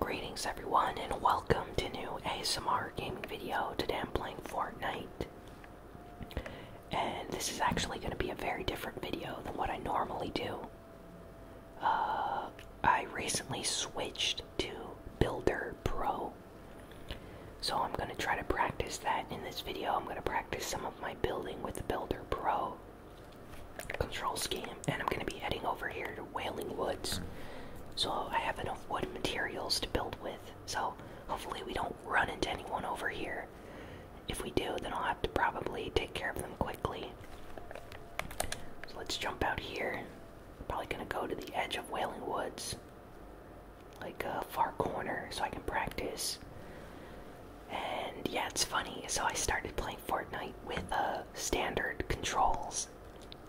Greetings everyone and welcome to new ASMR gaming video. Today I'm playing Fortnite. And this is actually going to be a very different video than what I normally do. Uh, I recently switched to Builder Pro. So I'm going to try to practice that in this video. I'm going to practice some of my building with Builder Pro control scheme, and I'm gonna be heading over here to Wailing Woods. So I have enough wood materials to build with. So hopefully we don't run into anyone over here. If we do, then I'll have to probably take care of them quickly. So let's jump out here. Probably gonna go to the edge of Wailing Woods, like a far corner, so I can practice. And yeah, it's funny. So I started playing Fortnite with uh, standard controls,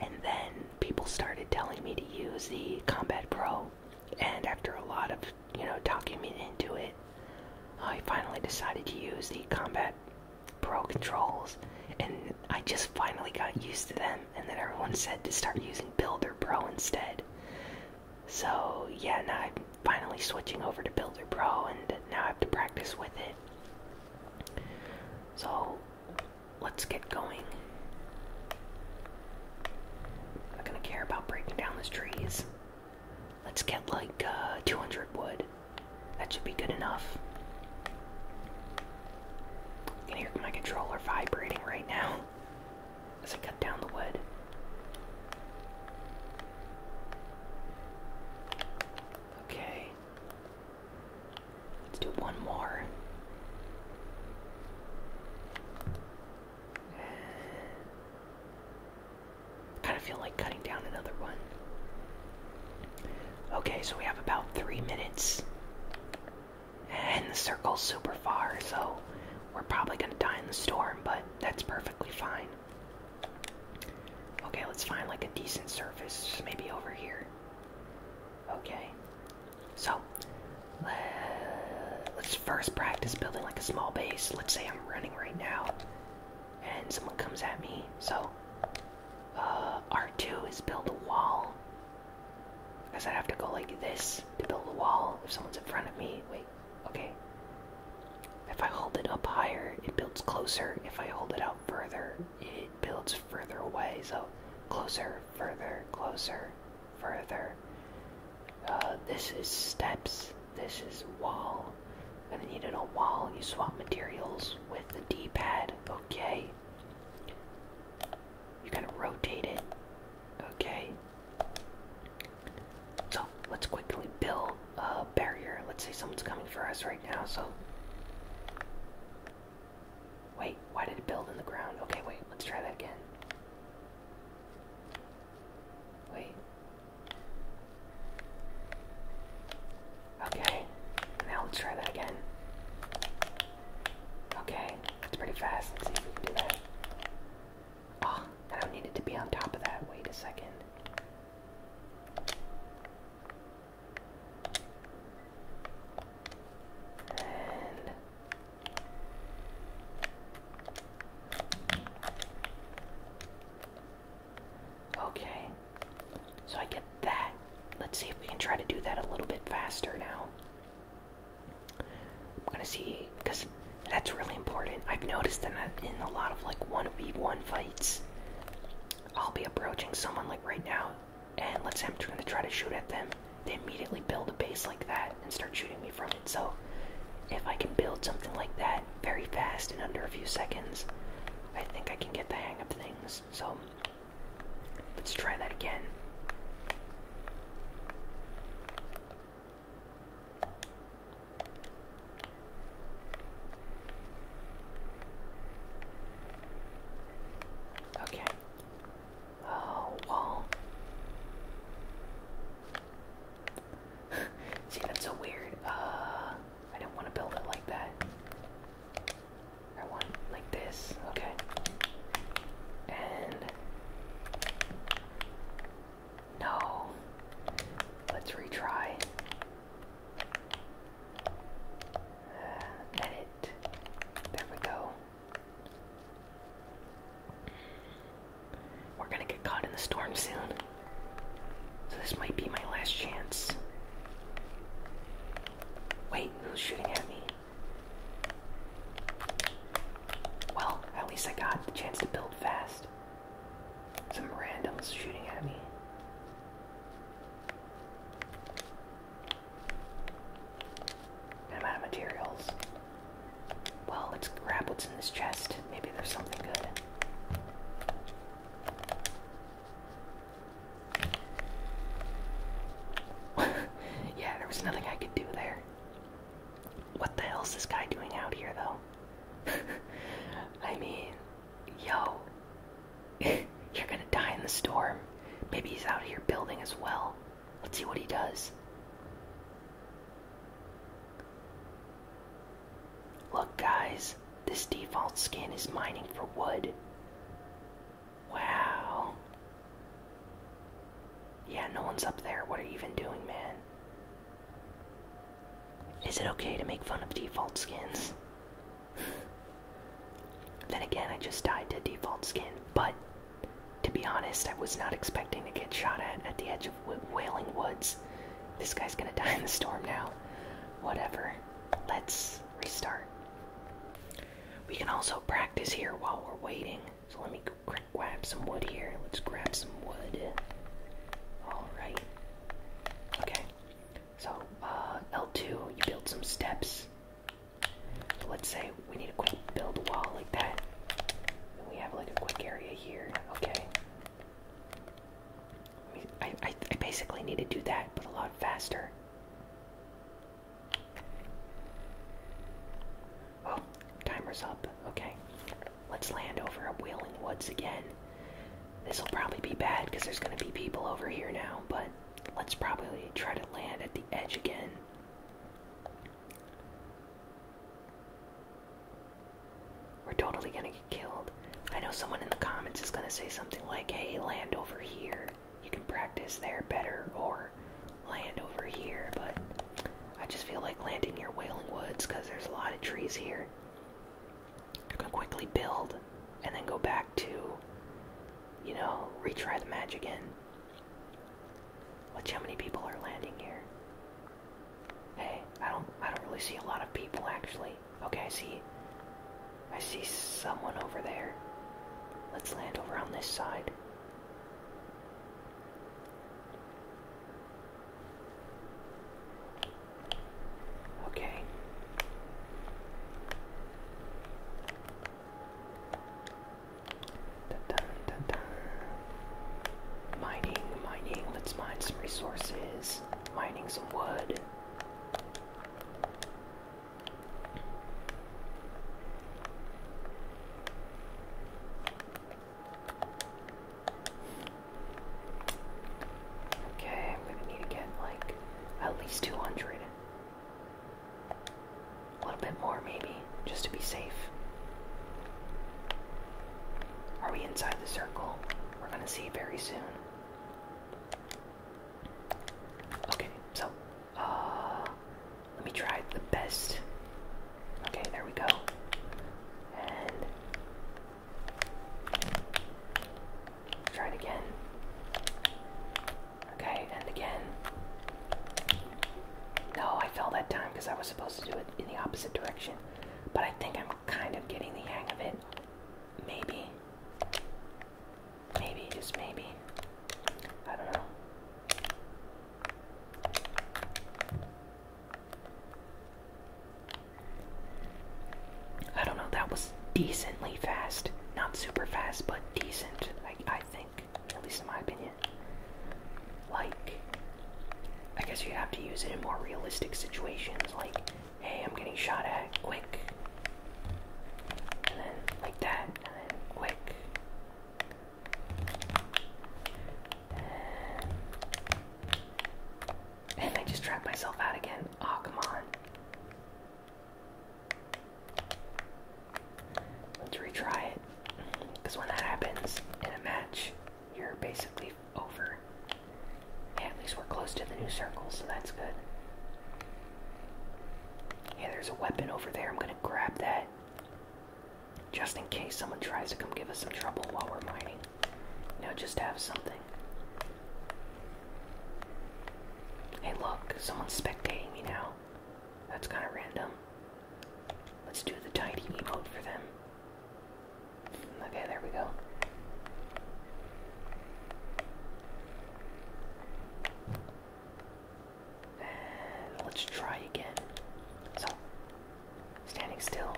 and then people started telling me to use the Combat Pro. And after a lot of, you know, talking me into it, I finally decided to use the Combat Pro controls. And I just finally got used to them. And then everyone said to start using Builder Pro instead. So, yeah, now I'm finally switching over to Builder Pro, and now I have to practice with it. So let's get going. not gonna care about breaking down these trees. Let's get like uh, 200 wood. That should be good enough. You can my controller vibrating right now as I cut down the wood. Okay, Let's do one more. kind of feel like cutting down another one. Okay, so we have about three minutes. And the circle's super far, so we're probably gonna die in the storm, but that's perfectly fine. Okay, let's find like a decent surface, maybe over here. Okay, so let's first practice building like a small base. Let's say I'm running right now and someone comes at me. So uh, R2 is build a wall. Because I'd have to go like this to build a wall if someone's in front of me. Wait, okay. If I hold it up higher, it builds closer. If I hold it out further, it builds further away. So closer, further, closer, further. Uh, this is steps. This is wall. Gonna need a little wall. You swap materials with the D-pad. Okay. You're to rotate it. Okay. So let's quickly build a barrier. Let's say someone's coming for us, right? now, so. Wait, why did it build in the ground? Okay, wait, let's try that again. Wait. Okay, now let's try that again. Okay, it's pretty fast. Let's see if we can do that. Ah, I don't need it to be on top of that. Wait a second. Okay. So I get that. Let's see if we can try to do that a little bit faster now. I'm gonna see because that's really important. I've noticed that in a lot of like 1v1 fights, I'll be approaching someone like right now, and let's say I'm going to try to shoot at them. They immediately build a base like that and start shooting me from it. So, if I can build something like that very fast in under a few seconds, I think I can get the hang of things. So, let's try that again. Okay. Oh, wall. See, that's so weird. Uh, I don't want to build it like that. I want like this. Okay. And no. Let's retry. Let it. There we go. We're gonna get caught in the storm soon. So this might be my last chance. Wait, who's shooting at me? Well, at least I got the chance to build fast. Some randoms shooting at me. I'm out of materials. Well, let's grab what's in this chest. Maybe there's something good. yeah, there was nothing I could do there. What the hell's this guy doing out here, though? I mean, yo, you're gonna die in the storm. Maybe he's out here building as well. Let's see what he does. Look, guys, this default skin is mining for wood. Wow. Yeah, no one's up there. What are you even doing, man? Is it okay to make fun of default skins? Then again, I just died to default skin, but to be honest, I was not expecting to get shot at at the edge of Wailing Woods. This guy's gonna die in the storm now. Whatever. Let's restart. We can also practice here while we're waiting. So let me grab some wood here. Let's grab some wood. Alright. Okay. So, uh, L2, you build some steps. So let's say we need to quick build a wall like that. we have like a quick area here. Okay. I, I, I basically need to do that, but a lot faster. Oh, timer's up. Okay. Let's land over at Wailing Woods again. This will probably be bad because there's going to be people over here now, but let's probably try to land at the edge again. We're totally going to get killed. I know someone in the comments is going to say something like, hey, land over here. You can practice there better, or land over here, but I just feel like landing near Wailing Woods because there's a lot of trees here you can quickly build and then go back to, you know, retry the match again. Watch how many people are landing here. Hey, I don't, I don't really see a lot of people actually. Okay, I see, I see someone over there. Let's land over on this side. Okay. Dun, dun, dun, dun. Mining, mining. Let's mine some resources. Mining some wood. Okay, I'm gonna need to get like at least 200. A little bit more, maybe, just to be safe. Are we inside the circle? We're gonna see very soon. Okay, so, uh, let me try the best. Okay, there we go. And Try it again. Okay, and again. No, I fell that time because I was supposed to do it in the opposite direction. But I think I'm kind of getting the hang of it. Maybe. Maybe, just maybe. I don't know. I don't know, that was decently fast. Not super fast, but decent, I, think. At least in my opinion. Like, I guess you have to use it in more realistic situations. Like, hey, I'm getting shot at, quick. And then, like that, quick. And, I just trapped myself out again. oh, come on. Let's retry it. Because when that happens in a match, you're basically over. Yeah, at least we're close to the new circle, so that's good. Yeah, there's a weapon over there. I'm gonna grab that. Just in case someone tries to come give us some trouble while we're mining. You just have something. Hey, look, someone's spectating me now. That's kind of random. Let's do the tidy mode for them. Okay, there we go. And let's try again. So, standing still.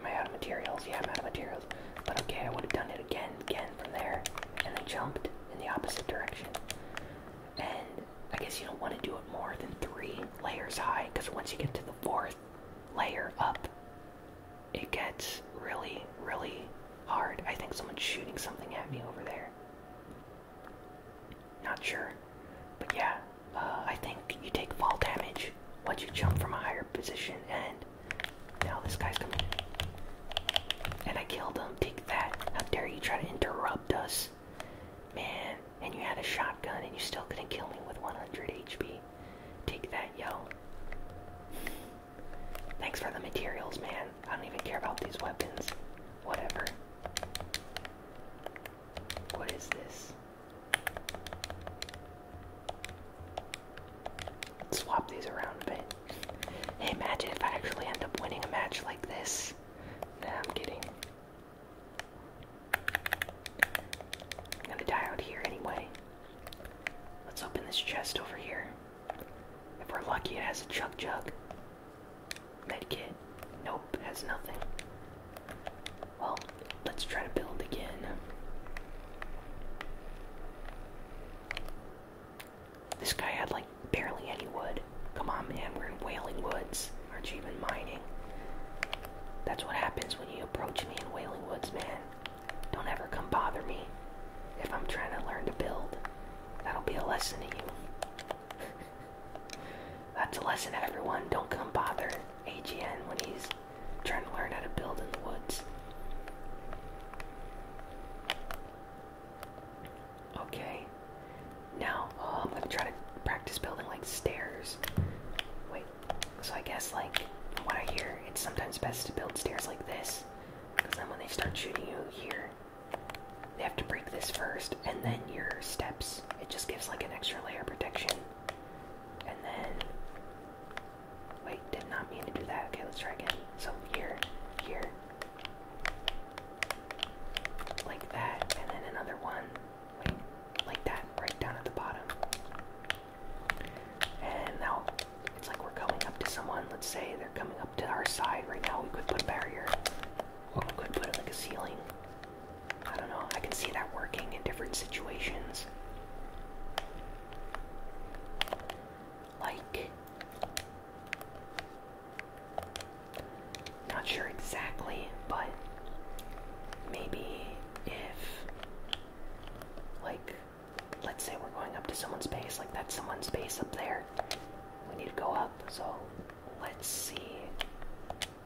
Am I out of materials? Yeah, I'm out of materials. But okay, I would have done it again, again from there. And I jumped in the opposite direction. And I guess you don't want to do it more than three layers high, because once you get to the fourth layer up, it gets really, really hard. I think someone's shooting something at me over there. Not sure. But yeah, uh, I think you take fall damage once you jump from a higher position, and now this guy's coming. And I killed him. Take that. How dare you try to interrupt us? Man, and you had a shotgun and you still couldn't kill me with 100 HP. Take that, yo. Thanks for the materials, man. I don't even care about these weapons. Whatever. What is this? swap these around a bit. Hey, imagine if I actually end up winning a match like this. Nah, I'm kidding. I'm gonna die out here anyway. Let's open this chest over here. If we're lucky, it has a chug jug. Medkit. Nope, has nothing. Well, let's try to build again. This guy had like barely any wood. Come on, man, we're in Wailing Woods. are you even mining? That's what happens when you approach me in Wailing Woods, man. Don't ever come bother me if I'm trying to learn to build. That'll be a lesson to you. That's a lesson to everyone. Don't come bother AGN when he's trying to learn how to build in the woods. Okay. Now, oh, I'm gonna try to practice building like stairs. Wait, so I guess like from what I hear, it's sometimes best to build stairs like this. Because then when they start shooting you here, they have to break this first, and then your steps. It just gives like an extra layer of protection. And then. Wait, did not mean to do that. Okay, let's try again. So here, here. Like that, and then another one. Wait, like that, right down at the bottom. And now it's like we're coming up to someone. Let's say they're coming up to our side right now. We could put a barrier. we could put like a ceiling. I don't know. I can see that working in different situations. Like. Not sure exactly, but maybe if. Like let's say we're going up to someone's base, like that's someone's base up there. We need to go up, so let's see.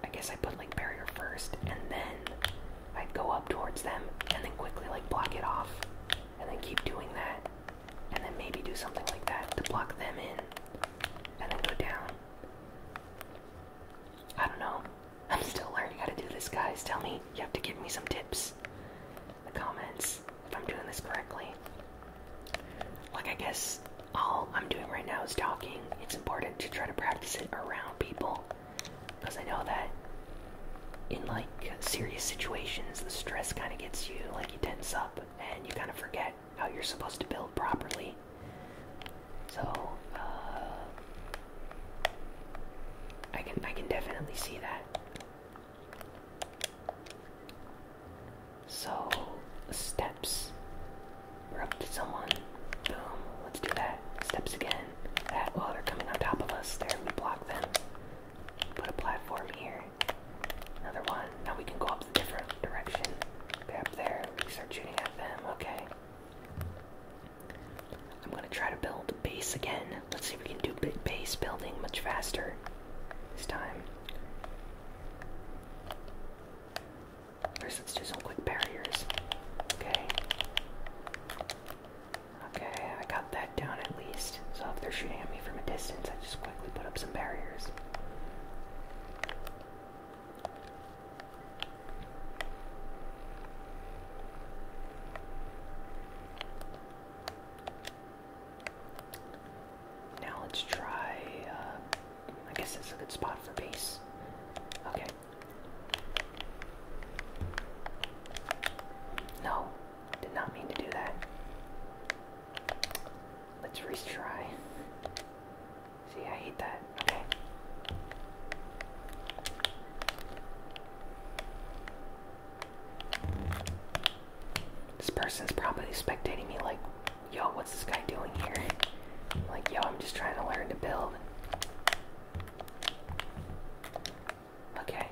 I guess I put like barrier first, and then i go up towards them, and then quickly like block it off, and then keep doing that, and then maybe do something like that to block them in, and then go down. I don't know. I'm still learning how to do this, guys. Tell me, you have to give me some tips comments comments if I'm doing this correctly. Like I guess all I'm doing right now is talking. It's important to try to practice it around people because I know that in like serious situations the stress kind of gets you like you tense up and you kind of forget how you're supposed to build properly. So uh, I can I can definitely see that. So, steps. We're up to someone. Boom. Let's do that. Steps again. That. While they're coming on top of us. they're gonna block them. Put a platform here. Another one. Now we can go up the different direction. they there. We start shooting at them. Okay. I'm gonna try to build a base again. Let's see if we can do base building much faster this time. First, let's do some quick barriers. Okay. Okay, I got that down at least. So if they're shooting at me from a distance, I just quickly put up some barriers. Now let's try. Uh, I guess that's a good spot for base. Okay. No, did not mean to do that. Let's retry. See, I hate that. Okay. This person's probably spectating me like, yo, what's this guy doing here? Like, yo, I'm just trying to learn to build. Okay.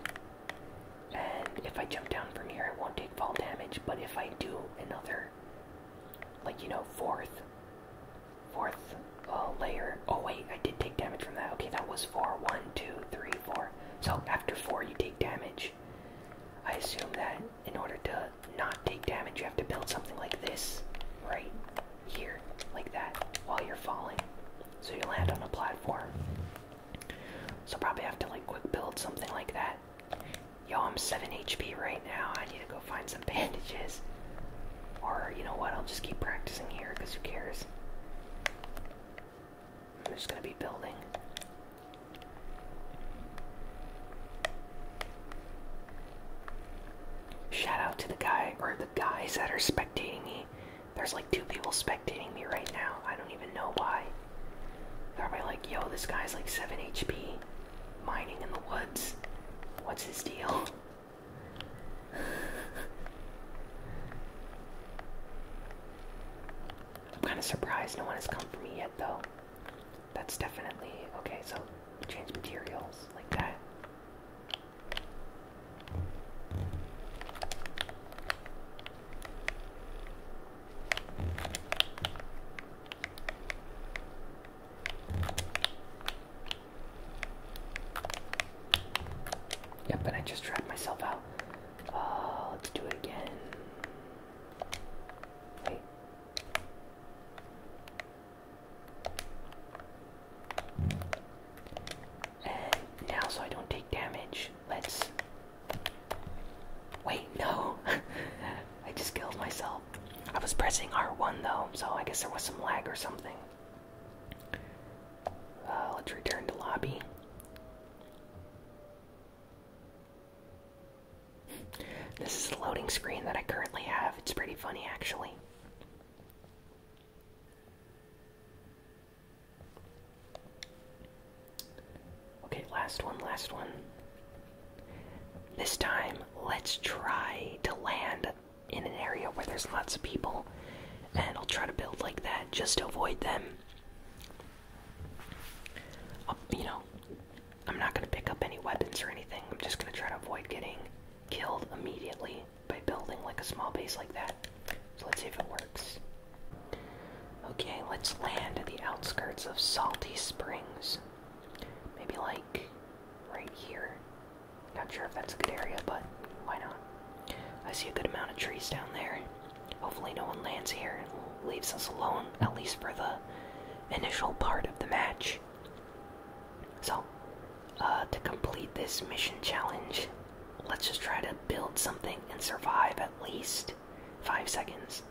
And if I jump down from here, I won't take fall damage, but if I do another, like, you know, fourth, fourth uh, layer. Oh, wait, I did take damage from that. Okay, that was 4-1 one, two, three, four. So after four, you take damage. I assume that in order to not take damage, you have to build something like this, right here, like that, while you're falling. So you land on a platform. So probably have to like quick build something like that. Yo, I'm 7 HP right now. I need to go find some bandages. Or, you know what, I'll just keep practicing here, because who cares? I'm just gonna be building. Shout out to the guy or the guys that are spectating me. There's like two people spectating me right now. I don't even know why. They're probably like, yo, this guy's like 7 HP mining in the woods. What's his deal? I'm kind of surprised no one has come for me yet, though. That's definitely okay, so change materials like that. Yep, and I just trapped myself out. Oh, let's do it again. Wait. And now, so I don't take damage, let's. Wait, no! I just killed myself. I was pressing R1 though, so I guess there was some lag or something. Uh, let's return to lobby. This is the loading screen that I currently have. It's pretty funny, actually. Okay, last one, last one. This time, let's try to land in an area where there's lots of people and I'll try to build like that just to avoid them. Um, you know, I'm not gonna pick up any weapons or anything. I'm just gonna try to avoid getting killed immediately by building like a small base like that. So let's see if it works. Okay, let's land at the outskirts of Salty Springs. Maybe like right here. Not sure if that's a good area, but why not? I see a good amount of trees down there. Hopefully, no one lands here and leaves us alone, at least for the initial part of the match. So, uh, to complete this mission challenge, let's just try to build something and survive at least five seconds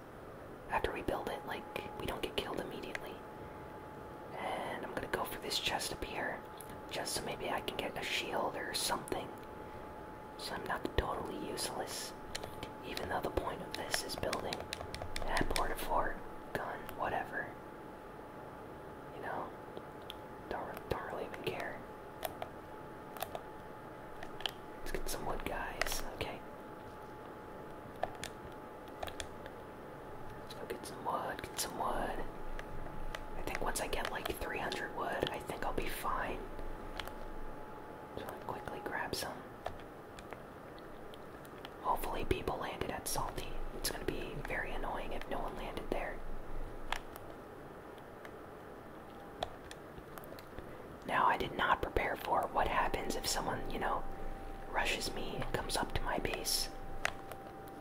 after we build it, like we don't get killed immediately. And I'm gonna go for this chest up here. Just so maybe I can get a shield or something. So I'm not totally useless. Even though the point of this is building that port of fort, gun, whatever. You know? Don't, don't really even care. Let's get some wood, guys. Okay. Let's go get some wood, get some wood. I think once I get like 300 wood, I think I'll be fine. So I quickly grab some. Hopefully, people landed at Salty. It's gonna be very annoying if no one landed there. Now, I did not prepare for what happens if someone, you know, rushes me and comes up to my base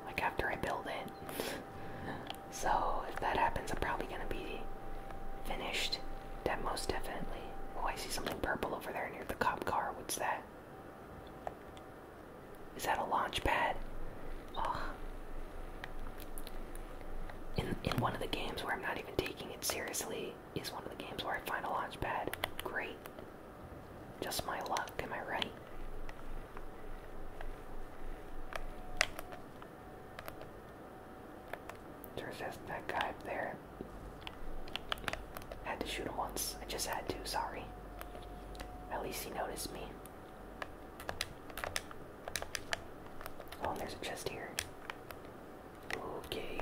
like after I build it. so if that happens, I'm probably gonna be finished. That most definitely. Oh, I see something purple over there near the cop car. What's that? Is that a launch pad? Oh. In in one of the games where I'm not even taking it seriously is one of the games where I find a launch pad. Great. Just my luck, am I right? Turns out that guy up there. Had to shoot him once. I just had to, sorry. At least he noticed me. Oh, there's a chest here. Okay.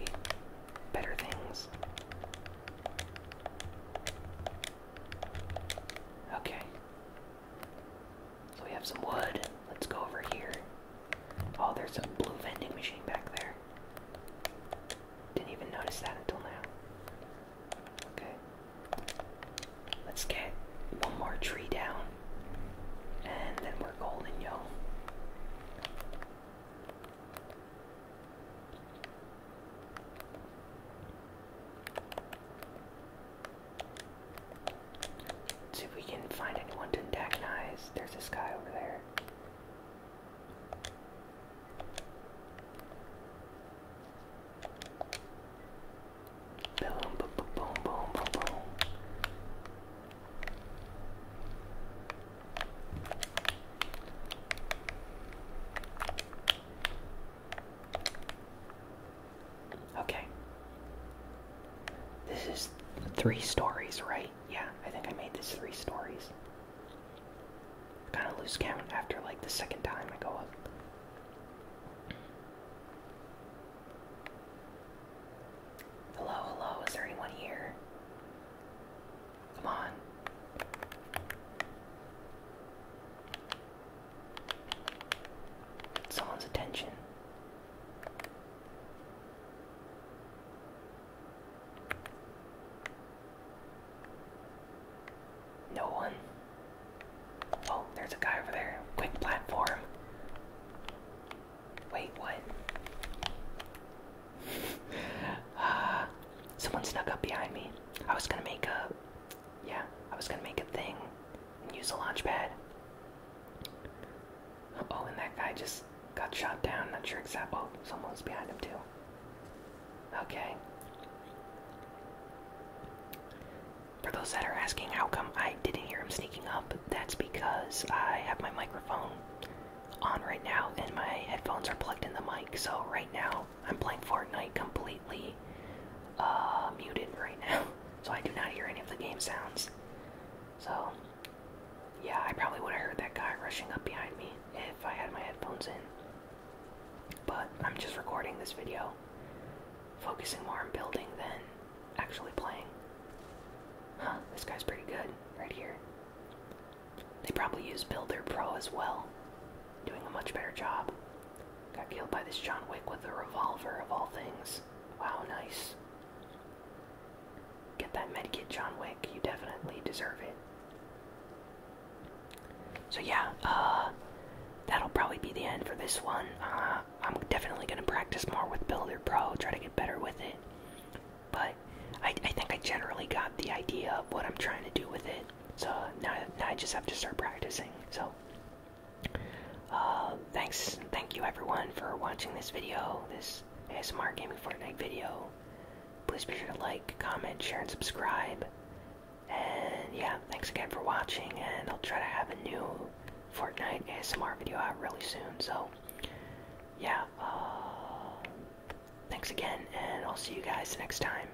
Better things. Okay. So we have some wood. Let's go over here. Oh, there's a blue vending machine back there. Didn't even notice that until now. Okay. Let's get one more tree down. And then we're golden, yo. Let's see if we can find anyone to antagonize. There's this guy over there. boom, boom, boom, boom, boom, boom. Okay. This is three stories, right? Yeah, I think I made this three stories. kind of lose count after like the second time I go up. Hello, hello, is there anyone here? Come on someone's attention. No one. Oh, there's a guy over there. Quick platform. Wait, what? uh, someone snuck up behind me. I was gonna make a. Yeah, I was gonna make a thing Use a launch pad. Oh, and that guy just got shot down. Not sure exactly. Oh, someone's behind him, too. Okay. For those that are asking how come I didn't hear him sneaking up, that's because I have my microphone on right now and my headphones are plugged in the mic. So, right now, I'm playing Fortnite completely uh, muted right now, so I do not hear any of the game sounds. So, yeah, I probably would have heard that guy rushing up behind me if I had my headphones in. But I'm just recording this video, focusing more on building than actually playing. Huh, this guy's pretty good right here. They probably use Builder Pro as well doing a much better job. Got killed by this John Wick with a revolver, of all things. Wow, nice. Get that medkit, John Wick. You definitely deserve it. So yeah, uh, that'll probably be the end for this one. Uh, I'm definitely gonna practice more with Builder Pro, try to get better with it. But I, think I generally got the idea of what I'm trying to do with it. So now I just have to start practicing. So um, thanks, thank you everyone for watching this video, this ASMR Gaming Fortnite video. Please be sure to like, comment, share, and subscribe. And yeah, thanks again for watching, and I'll try to have a new Fortnite ASMR video out really soon. So, yeah, uh, thanks again, and I'll see you guys next time.